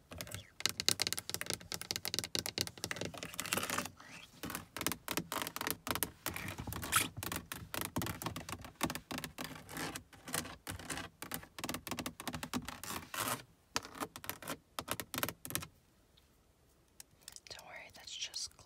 Don't worry, that's just glue.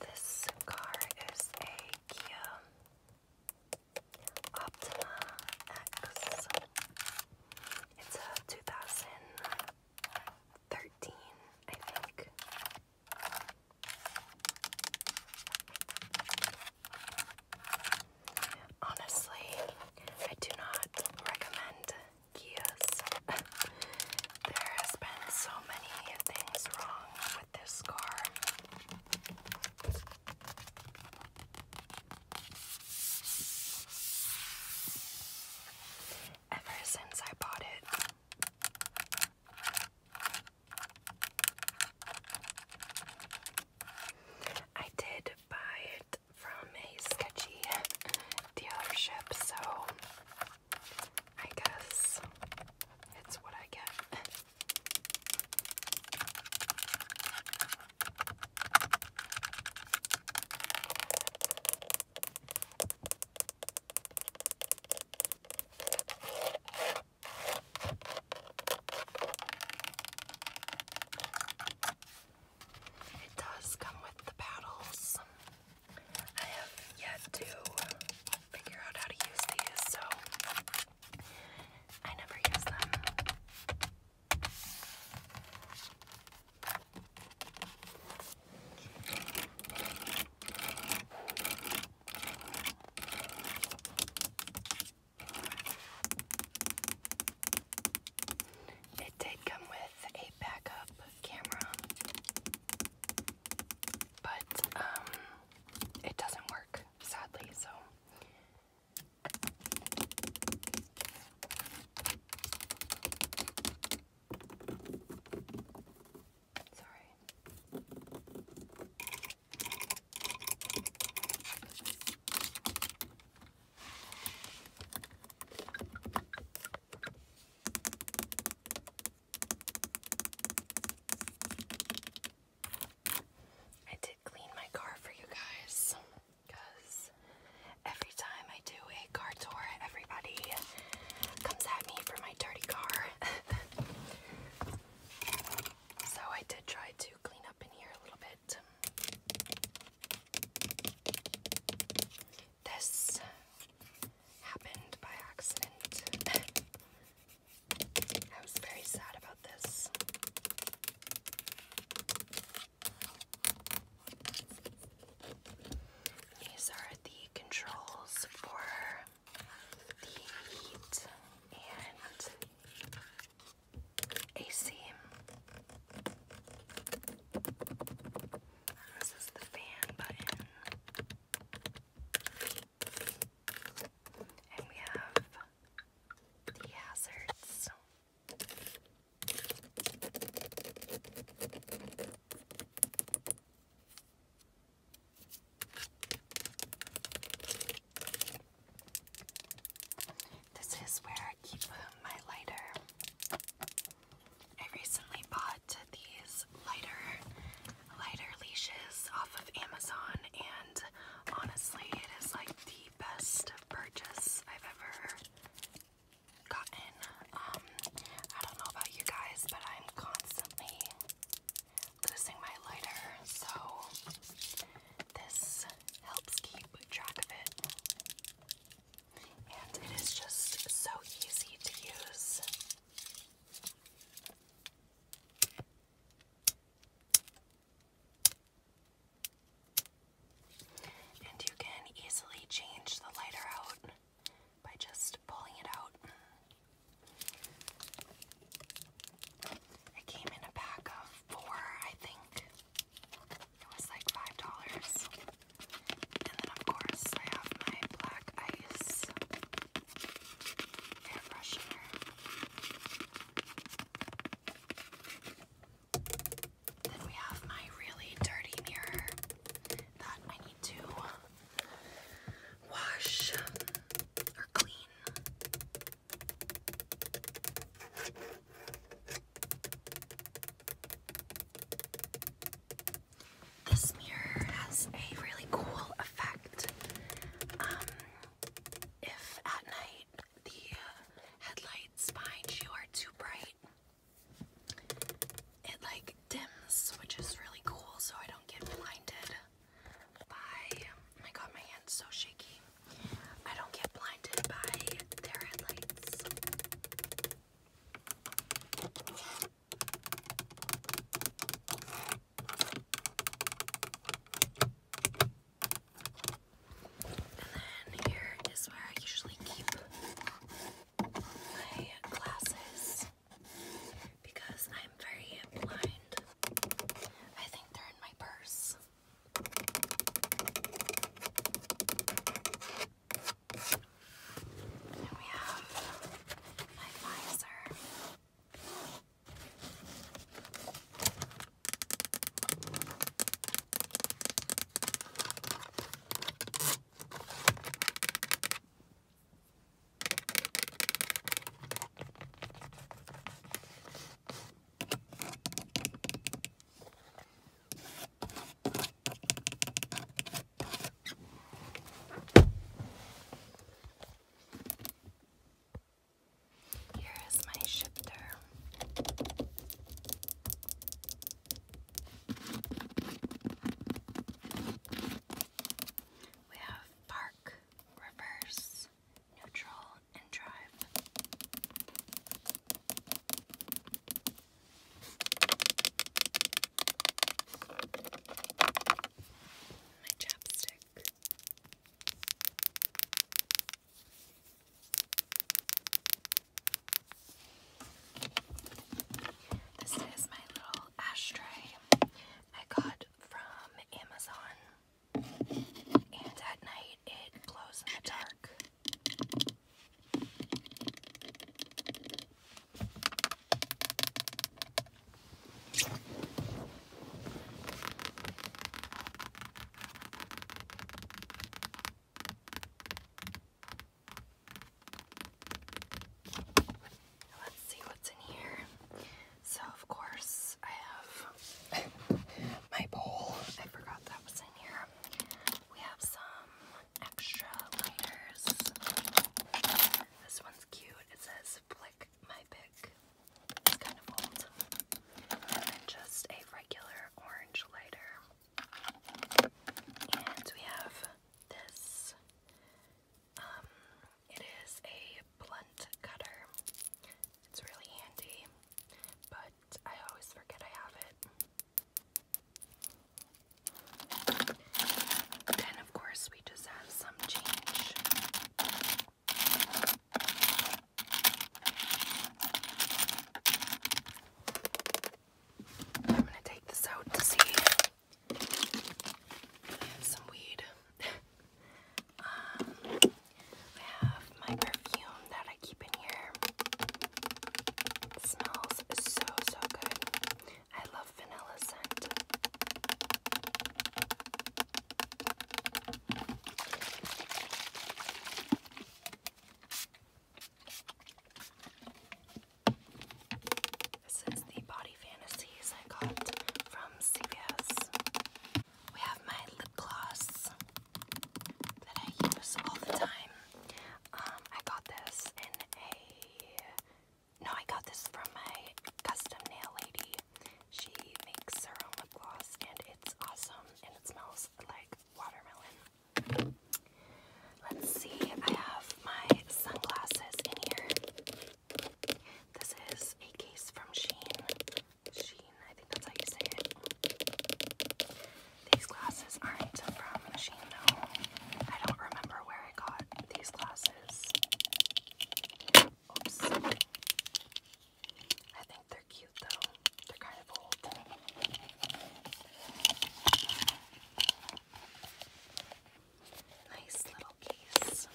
This car is a Kia Optima X. It's a 2013, I think. Honestly, I do not recommend Kias. there has been so many things wrong this scar. Ever since I bought it, I did buy it from a sketchy dealership, so I guess it's what I get. It does come with the paddles. I have yet to figure out how to use these, so I never use them. It did come with a backup camera, but um, it doesn't work sadly, so. Sorry. I did clean my car for you guys because every time I do a car tour, everybody comes at me for my dirty car. so I did try to clean up in here a little bit. This happened by accident. I was very sad about this. These are the controls for the heat and AC. This is the fan button. And we have the hazards. This is where I keep my lighter. I recently bought these lighter, lighter leashes off of Amazon, and honestly, it is like the best purchase I've ever gotten. Um, I don't know about you guys, but I'm constantly losing my lighter, so this helps keep track of it. And it is just so easy to use. And you can easily change the lighter out by just pulling it out. It came in a pack of four, I think. It was like five dollars. And then, of course, I have my black ice then we have my really dirty mirror that I need to wash or clean. This mirror has a really cool effect. Um, if at night the uh, headlights behind too bright, it like dims, which is really cool, so I don't get blinded Oh my god, my hand's so shaky. I don't get blinded by their headlights. And here is where I usually keep my glasses because I'm very blind. I think they're in my purse. Then we have my Pfizer. Here is my shifter. We have park, reverse, neutral, and drive. My chapstick. This is my little ashtray I got from Amazon, and at night it glows in the dark. Let's see what's in here. So, of course, I have my bowl. I forgot that was in here. We have some extra lighters. This one's cute. It says Flick My Pick. It's kind of old. And just a regular orange lighter. And we have this. Um, it is a blunt cutter. It's really handy, but I always forget I have it. Then, of course, we just have some change. I'm going to take this out to see. some weed. um, I have my perfume that I keep in here. smells so, so good. I love vanilla scent. This is the Body Fantasies I got from CVS. We have my lip gloss that I use all the time. Um, I got this in a no, I got this from my custom nail lady. She makes her own lip gloss and it's awesome and it smells like watermelon. Let's see, I have my sunglasses in here. This is a case from Sheen. Sheen, I think that's how you say it. These glasses aren't from Machine though. I don't remember where I got these glasses. Oops. I think they're cute though. They're kind of old. Nice little case.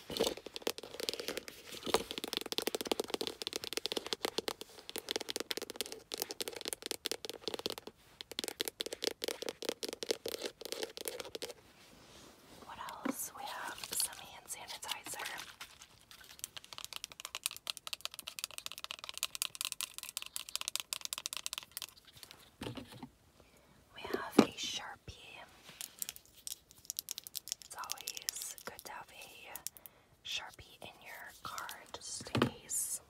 What else? We have some hand sanitizer. We have a Sharpie. It's always good to have a Sharpie in your car just in case.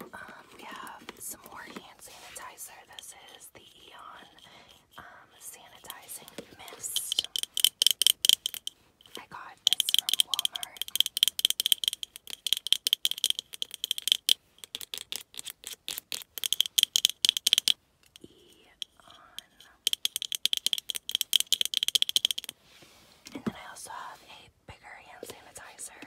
Um, we have some more hand sanitizer. This is the Eon um, Sanitizing Mist. I got this from Walmart. Eon. And then I also have a bigger hand sanitizer.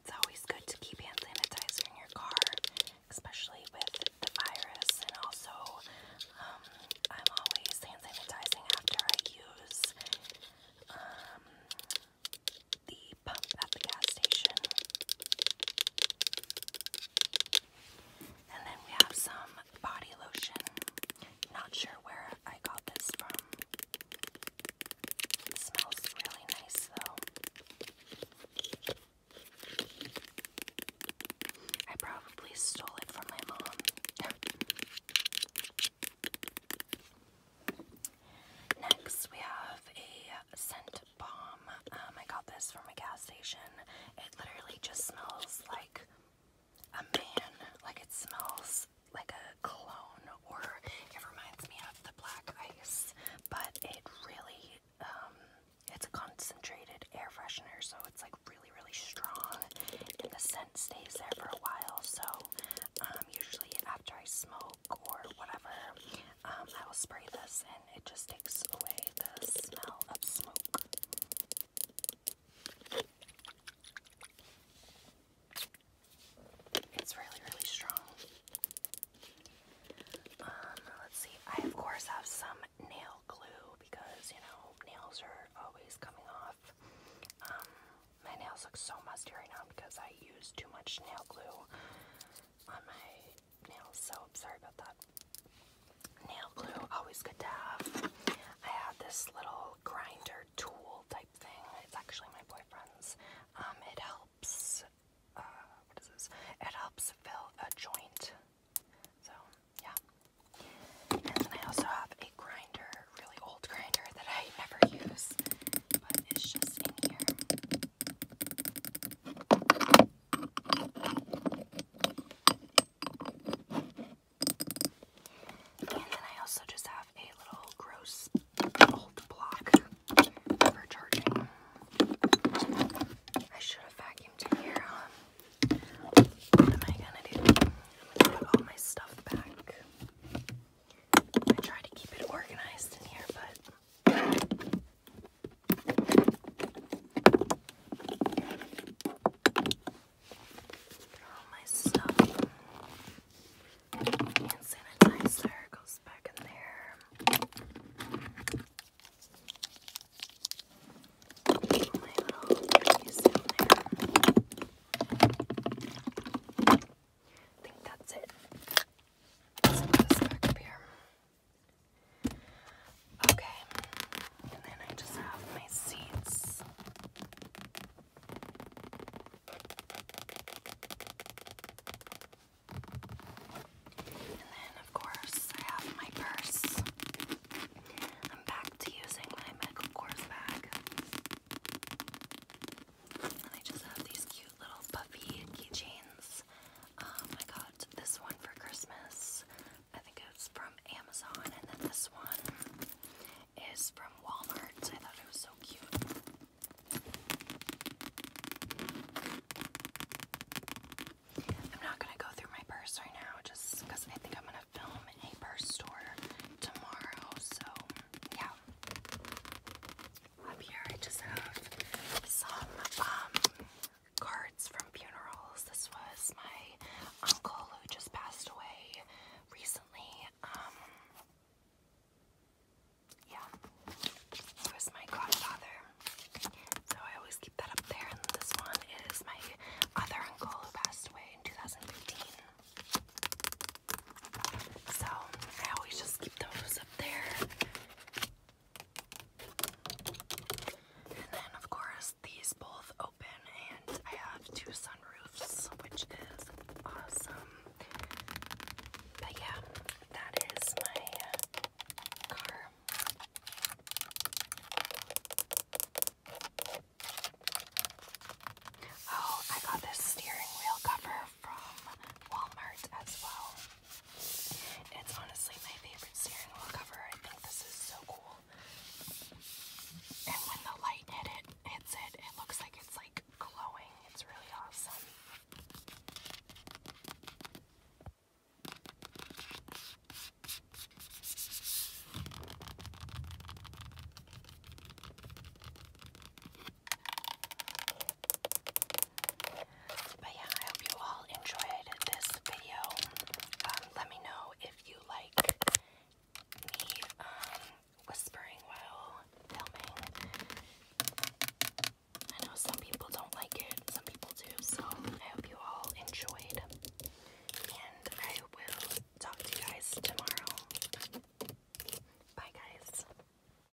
It's always good to keep hand sanitizer in your car, especially with the virus. And also, um, I'm always hand sanitizing after I use um, the pump at the gas station. And then we have some body lotion. Not sure where I got this from. smells really nice though. I probably stole it from my mom. Next, we have a scent bomb. Um, I got this from a gas station. It literally just smells like a man. Like it smells like a cologne, or it reminds me of the black ice. But it really, um, it's a concentrated air freshener, so it's like really, really strong, and the scent stays there for a while. So, um, usually after I smoke or whatever, I will spray this it just takes away the smell of smoke. It's really, really strong. Um, let's see. I of course have some nail glue because you know nails are always coming off. Um, my nails look so musty right now because I use too much nail glue on my nails, so I'm sorry about that. Nail glue, always good to have. I had this little grinder tool type thing. It's actually my boyfriend's. Um, it helps, uh, what is this? It helps fill a joint. So, yeah. And then I also have a grinder, really old grinder that I never use, but it's just in here. And then I also just have a little gross old block for charging. I should have vacuumed in here. Um, what am I gonna do? put all my stuff back. I try to keep it organized in here, but all my stuff and sanitizer goes back in there. My little piece in there. I think that's it. Let's put this back up here. Okay, and then I just have my seeds. And then, of course, I have my purse. I'm back to using my Michael Kors bag. And I just have these cute little puffy keychains um, I got this one for Christmas. I think it's from Amazon, and then this one is from Walmart. I thought it was so cute. I'm not gonna go through my purse right now just I think I'm gonna film a purse store tomorrow, so yeah. Up here I just have some um, cards from funerals. This was my uncle who just passed away recently. Um, yeah. He was my godfather. So I always keep that up there. And this one is my other uncle who passed away in 2015. So I always just keep those up there. And then, of course, these both open, and I have two sunroofs, which is awesome. But yeah, that is my uh, car. Oh, I got this steering wheel cover from Walmart as well. It's honestly my favorite steering wheel cover. I think this is so cool. And when the light hits it, it looks like it's like glowing. It's really awesome. But yeah, I hope you all enjoyed this video. Um, let me know if you like me um, whispering while filming. I know some people don't like it, some people do, so I hope you all enjoyed. And I will talk to you guys tomorrow. Bye, guys.